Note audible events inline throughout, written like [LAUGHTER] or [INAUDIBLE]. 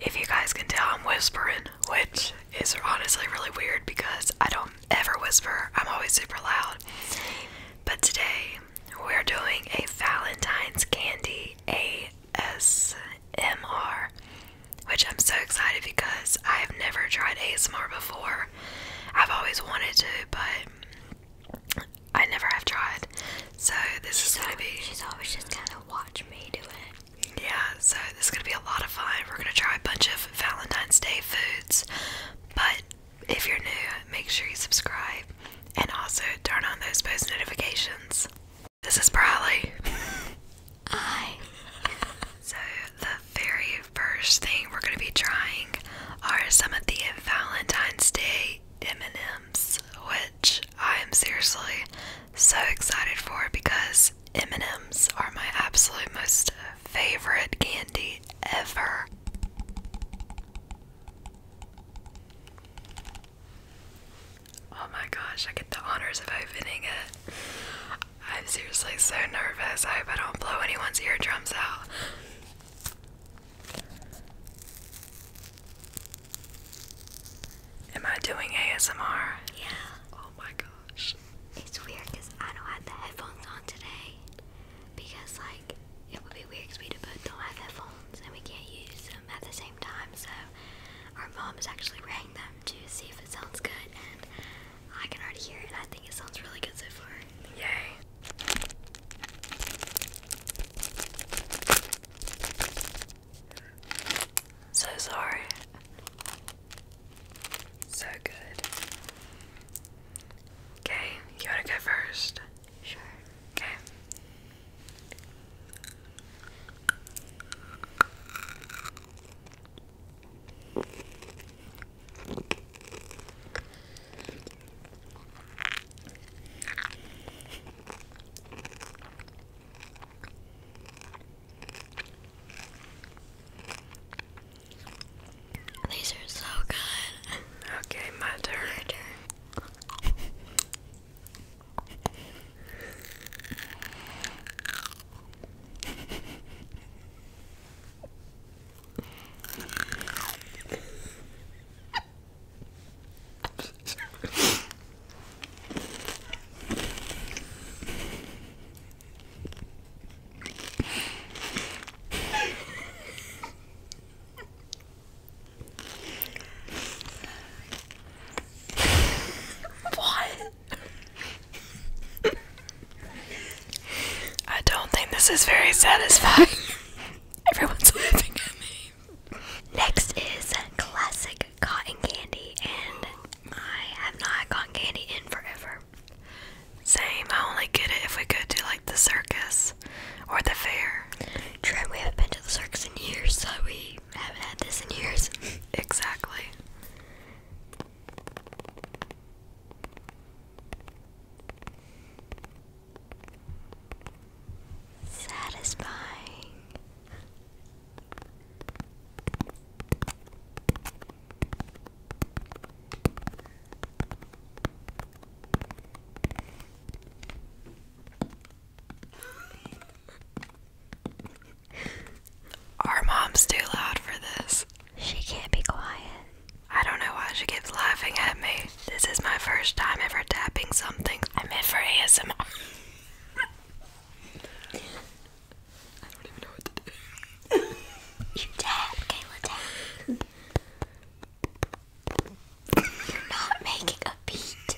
If you guys can tell, I'm whispering, which is honestly really weird because I don't ever whisper, I'm always super loud. But today, we're doing a Valentine's Candy ASMR, which I'm so excited because I have never tried ASMR before. I've always wanted to, but I never have tried. So this is gonna be. She's always just kind of watch me do it. Yeah, so this is gonna be a lot of fun. We're gonna try a bunch of Valentine's Day foods, but if you're new, make sure you subscribe and also turn on those post notifications. This is Briley. I. [LAUGHS] So the very first thing we're gonna be trying are some of the Valentine's Day M&Ms, which I am seriously so excited for because M&Ms are my absolute most favorite candy ever. Oh my gosh, I get the honors of opening it. I'm seriously so nervous. I hope I don't blow anyone's eardrums out. Am I doing ASMR? Yeah. Oh my gosh. It's weird because I don't have the headphones on today. Because, like, it would be weird because we both don't have headphones and we can't use them at the same time. So, our mom is actually wearing them to see if it sounds good. And I can already hear it. I think it sounds really good so far. Yay! So sorry. So good. Okay, you wanna go first? Sure. Okay. These are so good. Okay, my turn. [LAUGHS] What? I don't think this is very satisfying. [LAUGHS] Everyone's laughing at me. Next is a classic like cotton candy, and I have not had cotton candy in forever. Same. I only get it if we go to like the circus or the fair. True. We haven't been to the circus in years, so we haven't had this in years. [LAUGHS] exactly. Satisfying. [LAUGHS] Our mom's too loud for this. She can't be quiet. I don't know why she keeps laughing at me. This is my first time ever tapping something. I'm in for ASMR. [LAUGHS] I don't even know what to do. you dab, Kayla, dab. You're not making a beat.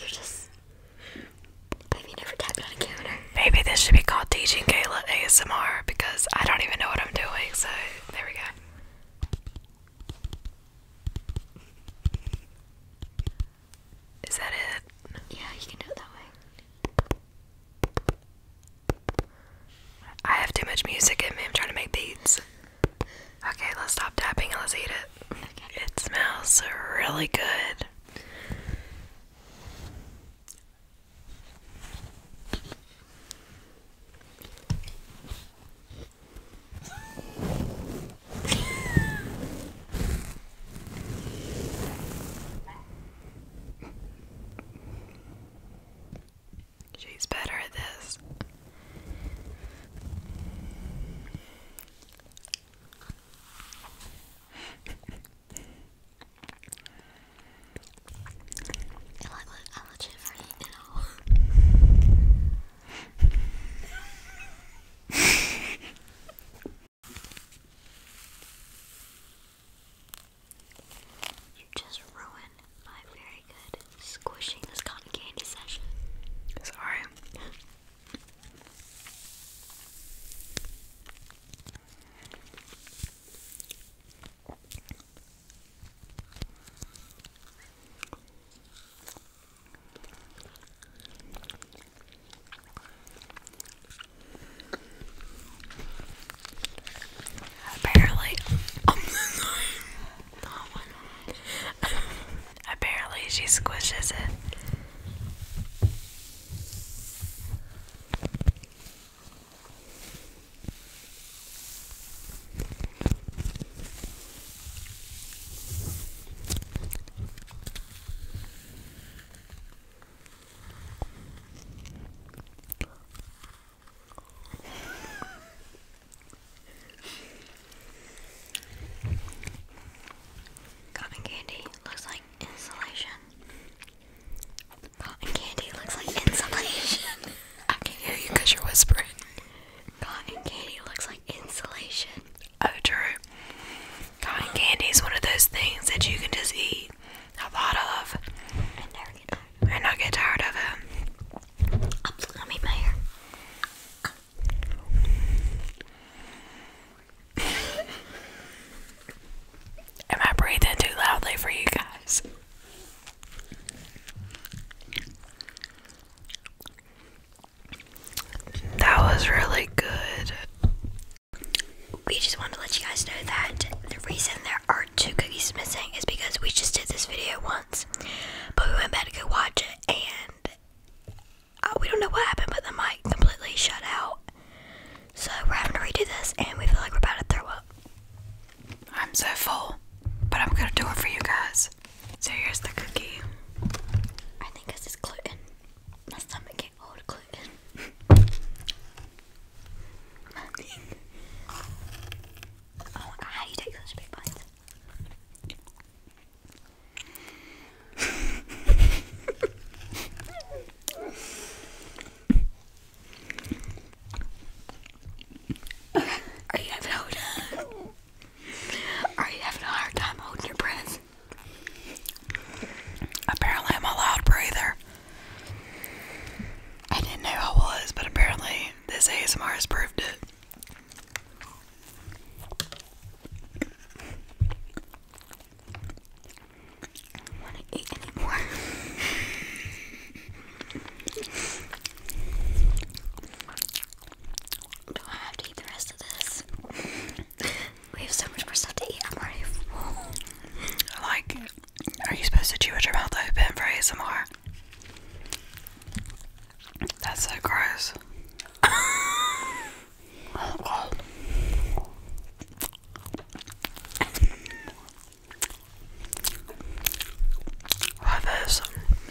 You're just. Have never tapped on a counter? Maybe this should be called Teaching Kayla ASMR because I don't even know what I'm doing, so there we go. Is that it? Yeah, you can do it that way. I have too much music in me. I'm trying to make beats. Okay, let's stop tapping and let's eat it. It smells really good. She's better at this. I like, like, I'm legit afraid now. You just ruined my very good squishing this cotton candy session. Sorry. Apparently, oh apparently she squishes it. Cotton candy looks like insulation. Cotton candy looks like insulation. [LAUGHS] I can not hear you because you're whispering. Cotton candy looks like insulation. Oh, true. Cotton candy is one of those things that you can just eat a lot of and never get tired. not get tired of it. I'm [LAUGHS] Am I breathing too loudly for you guys? That was really good. We just want to let you guys know that the reason there are two cookies missing is because we just did this video once, but we went back to go watch it, and uh, we don't know what happened, but the mic completely shut out. So we're having to redo this, and we feel like we're about to throw up. I'm so full, but I'm gonna do it for you guys. So here's the cookie. I think this is gluten. My stomach can't hold gluten. [LAUGHS] oh how do you take such big bites? [LAUGHS] Are you having a are you having a hard time holding your breath? Apparently, I'm a loud breather. I didn't know I was, but apparently, this ASMR has proved it. [LAUGHS] Do I have to eat the rest of this? [LAUGHS] we have so much more stuff to eat. I'm already full. [LAUGHS] Like, are you supposed to chew with your mouth open for ASMR? That's so gross. oh god. Why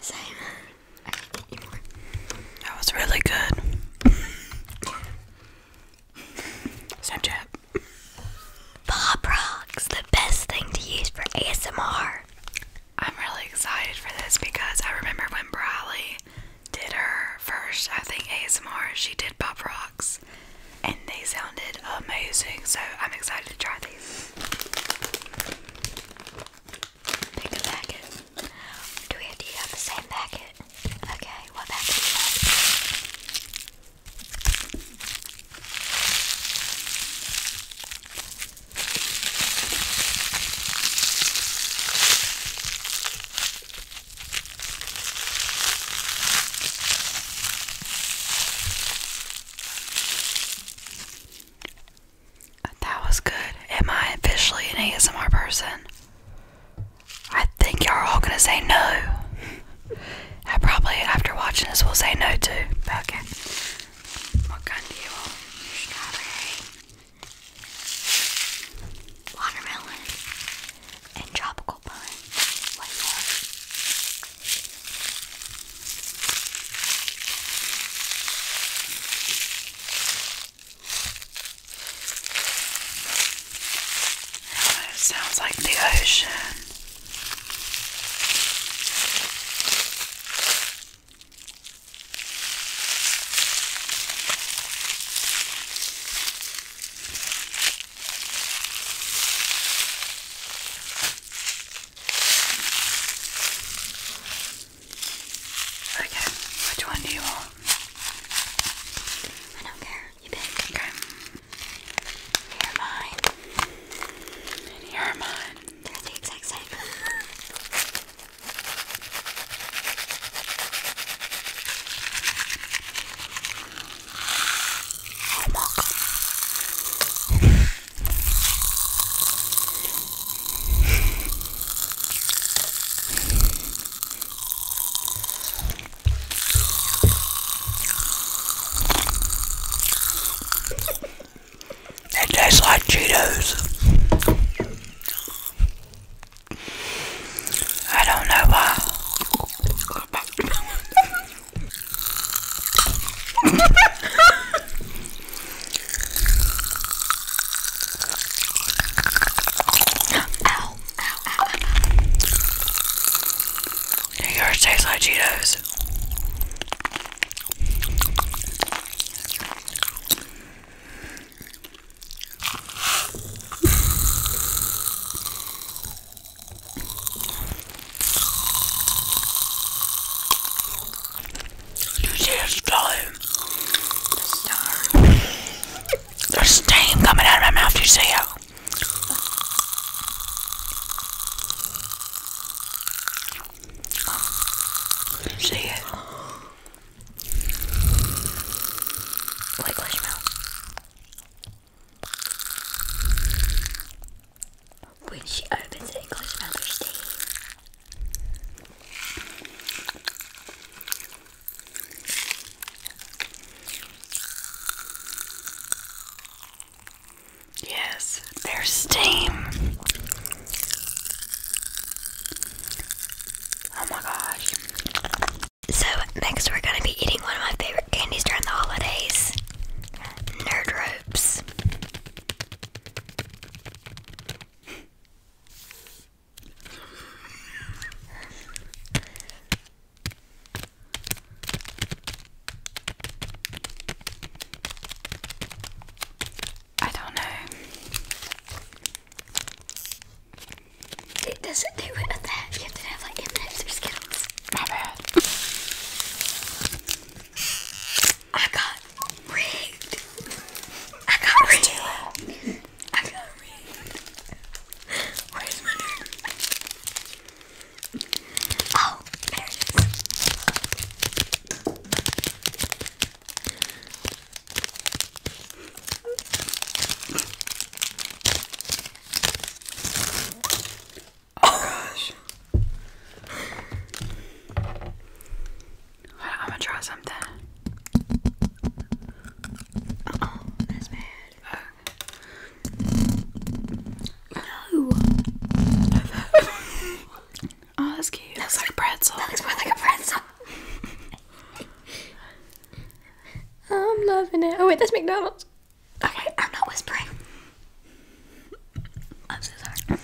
So That was really good. Snapchat. Bob Rocks, the best thing to use for ASMR. I'm really excited for this because I remember when Briley did her first, I think, ASMR, she did Bob Rocks. And they sounded amazing, so I'm excited to try these. Pick a packet. Do we have, do you have the same packet? Okay, what packet that was good. Am I officially an ASMR person? I think y'all are all gonna say no. I probably, after watching this, will say no too. But okay. What kind do you want? Strawberry, watermelon, and tropical bun. What do Oh, it sounds like the ocean. Okay, which one do you want? I don't care. You pick. Okay. Here are mine. here are mine. They're the exact same. Oh it tastes like Cheetos. I don't know why. [LAUGHS] Ow, ow, ow, ow. Yours tastes like Cheetos. You see the flame? There's steam coming out of my mouth, you see it? see it? When she opens it and closes her mouth, steam. Yes, there's steam. Oh my gosh. So, next we're going to be eating one of my favorite candies during the holidays Nerd Ropes. I don't know. Dude, does it do it with that? You have to have like M&M's My bad. I got rigged. I got rigged. I got rigged. Where's my nerd? Oh, there Oh gosh. I'm gonna try something. that's no. oh, that's cute. Looks like a pretzel. That looks more like a pretzel. I'm loving it. Oh wait, that's McDonald's. Okay, I'm not whispering. I'm so sorry.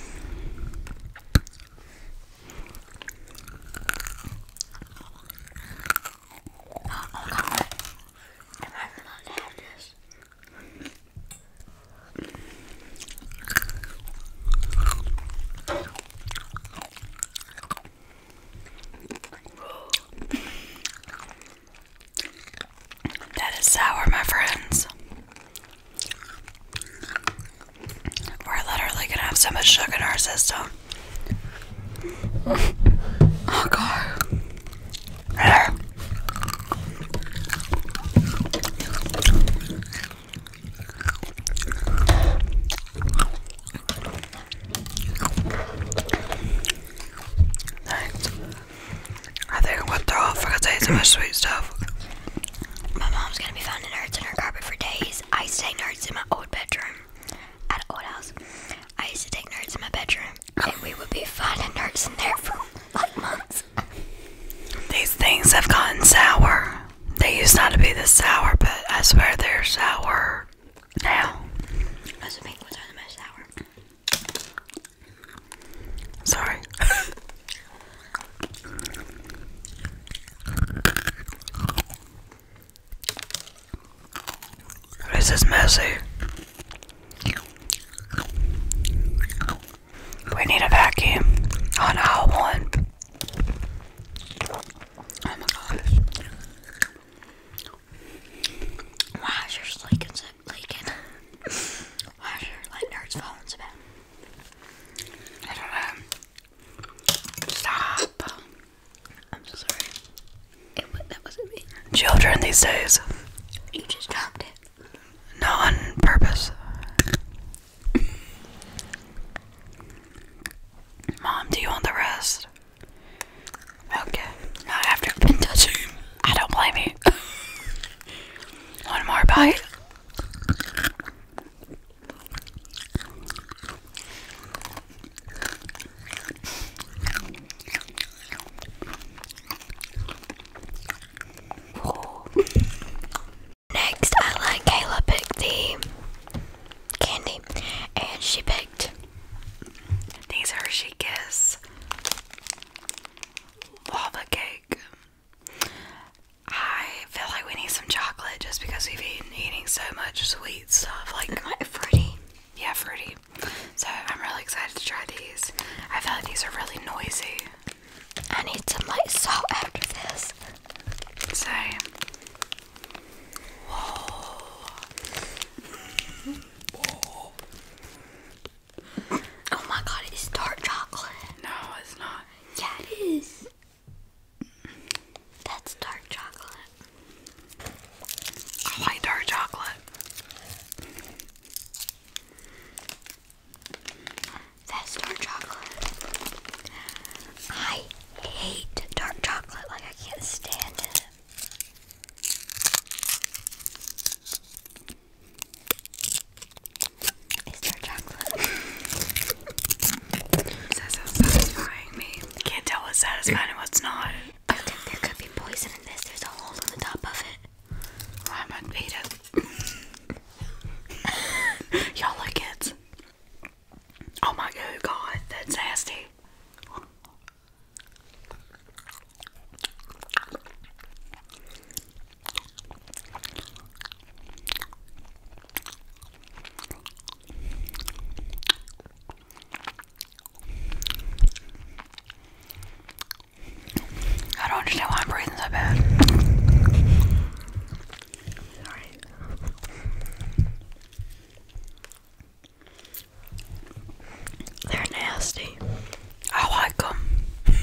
That is sour, my friends. We're literally gonna have so much sugar in our system. Oh god. There. I think I went through all because sweet stuff. My mom's gonna be finding nerds in her carpet for days. I used to take nerds in my old bedroom at an old house. I used to take nerds in my bedroom, and we would be finding nerds in there for like months. These things have gotten sour. They used not to be this sour, but I swear they're sour now. Those pink ones are the most sour. Sorry. [LAUGHS] This is messy. We need a vacuum on aisle one. Oh my gosh. Why is your sleek leaking? Why is your like nerd's phone's about? I don't know. Stop. I'm so sorry. that wasn't me. Children these days. You just dropped it. No, on purpose. Mom, do you want the rest? Okay. Not after i I don't blame you. [LAUGHS] One more bite. Next, I let Kayla pick the candy, and she picked these Hershey Kiss lava cake. I feel like we need some chocolate just because we've been eating so much sweet stuff, like fruity. Yeah, fruity. So I'm really excited to try these. I feel like these are really noisy. I need some light salt after this. So, whoa. Oh my god, it's dark chocolate. No, it's not. Yeah, it is. That's dark chocolate. I dark chocolate. That's dark chocolate. I hate dark chocolate. Like, I can't stand it. Is there chocolate? Is so satisfying me? I can't tell what's satisfying and what's not. I think there could be poison in this. There's a hole on the top of it. Well, I it. Y'all like it? Oh my god, that's nasty. I don't understand why I'm breathing so bad. Sorry. They're nasty. I like them.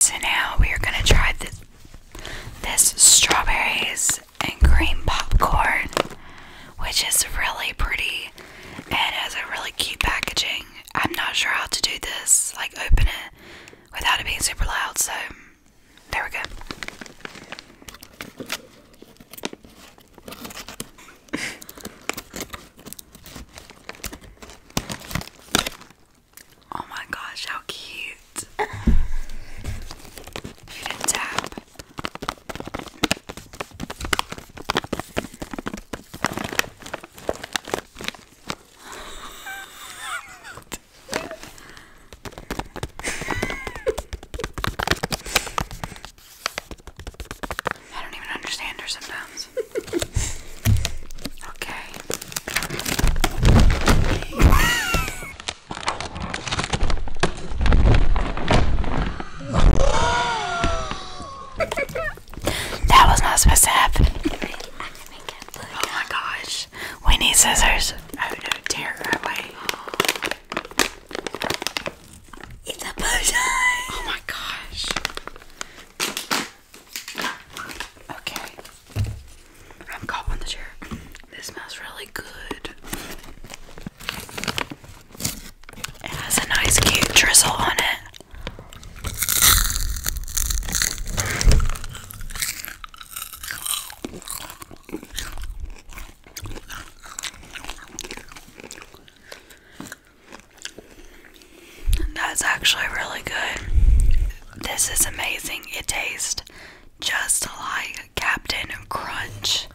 so now we are gonna try this this strawberries and cream popcorn, which is really pretty and has a really cute packaging. I'm not sure how to do this, like open it without it being super loud, so there we go. Oh my gosh, how cute. You didn't tap. I don't even understand her sometimes. [LAUGHS] Okay. that was not supposed to happen. Oh my gosh. We need scissors. Oh no, tear it right away. It's a bow Oh my gosh. Okay. I'm caught on the chair. This smells really good. It has a nice cute drizzle on it. That's actually really good. This is amazing. It tastes just like Captain Crunch.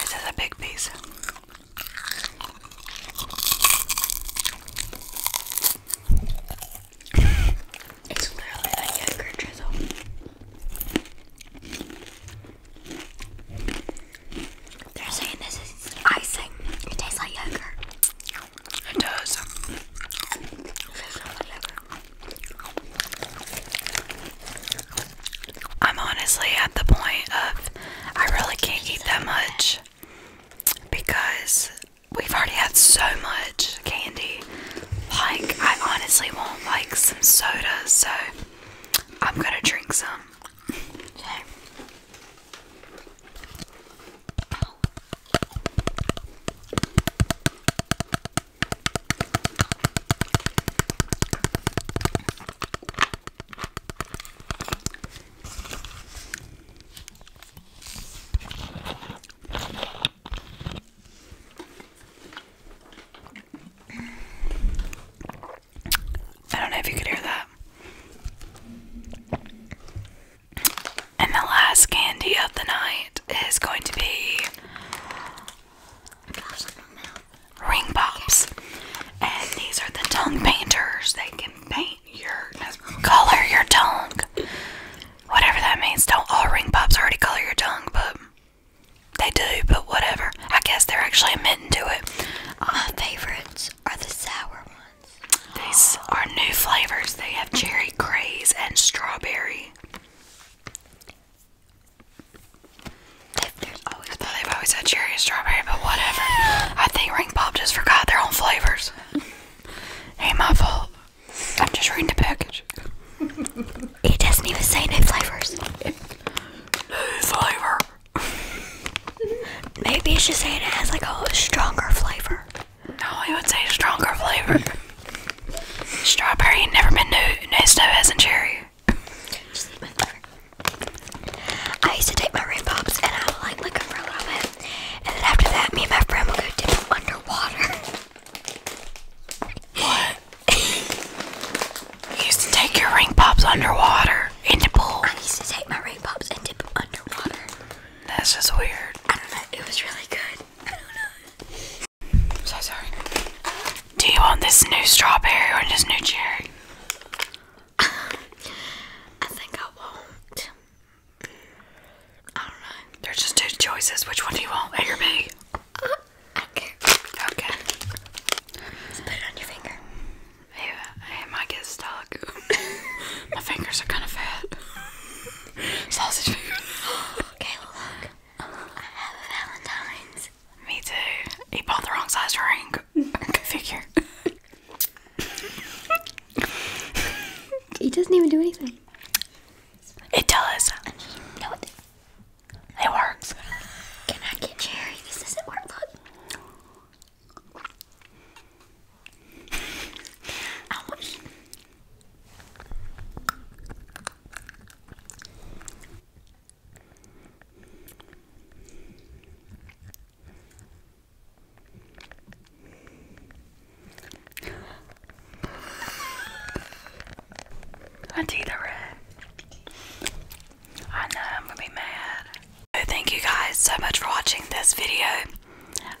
This is a big piece. It's clearly a yogurt drizzle. They're saying this is icing. It tastes like yogurt. I'm honestly at the point of I really can't eat that much because we've already had so much candy. Like, I honestly want like some soda, so I'm gonna drink some. I don't know if you could hear that. And the last candy of the night is going to be ring pops. And these are the tongue painters. They can paint your color your tongue. Whatever that means. Don't all ring pops already color your tongue, but they do, but whatever. I guess they're actually admitting to it. My favorites are the sour ones. These are new flavors. They have cherry craze and strawberry. they I they've always had cherry and strawberry, but whatever. I think Ring Pop just forgot their own flavors. [LAUGHS] Ain't my fault. I'm just reading the package. [LAUGHS] it doesn't even say new flavors. flavor. [LAUGHS] Maybe it's just saying it has like a stronger flavor. No, I would say stronger flavor. Strawberry never been new, nice no as in cherry. I used to take my ring pops and I would like lick them for a little bit. And then after that, me and my friend would go dip them underwater. What? used to take your ring pops underwater in pool. I used to take my ring pops and dip them underwater. That's just weird. I don't know. It was really good. I don't know. so sorry. Do you want this new strawberry or this new cherry? I think I won't. I don't know. There's just two choices. Which one do you want? A or B? Uh, okay. Okay. Just put it on your finger. Yeah, it might get stuck. My fingers are kind of fat. Sausage fingers. okay, look. I have a Valentine's. Me too. He bought the wrong size ring. Good figure. It doesn't even do anything. It does. I It works. Can I get cherry? This doesn't work. Look. Ouch. That's either I know I'm gonna be mad. thank you guys so much for watching this video.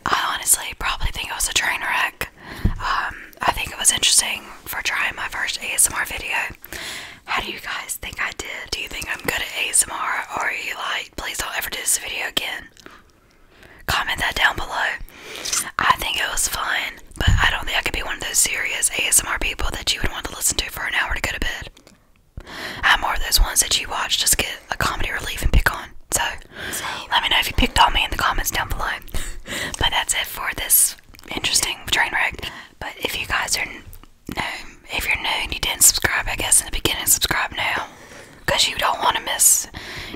I honestly probably think it was a train wreck. Um, I think it was interesting for trying my first ASMR video. How do you guys think I did? Do you think I'm good at ASMR or are you like, please don't ever do this video again? Comment that down below. I think it was fun, but I don't think I could be one of those serious ASMR people that you would want to listen to for an hour to go to bed. I'm more of those ones that you watch to skip a comedy relief and pick on. So let me know if you picked on me in the comments down below. [LAUGHS] but that's it for this interesting train wreck. But if you guys are new, if you're new and you didn't subscribe, I guess in the beginning, subscribe now because you don't want to miss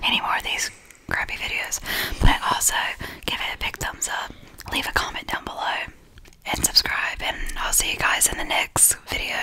any more of these crappy videos. But also give it a big thumbs up, leave a comment down below, and subscribe. And I'll see you guys in the next video.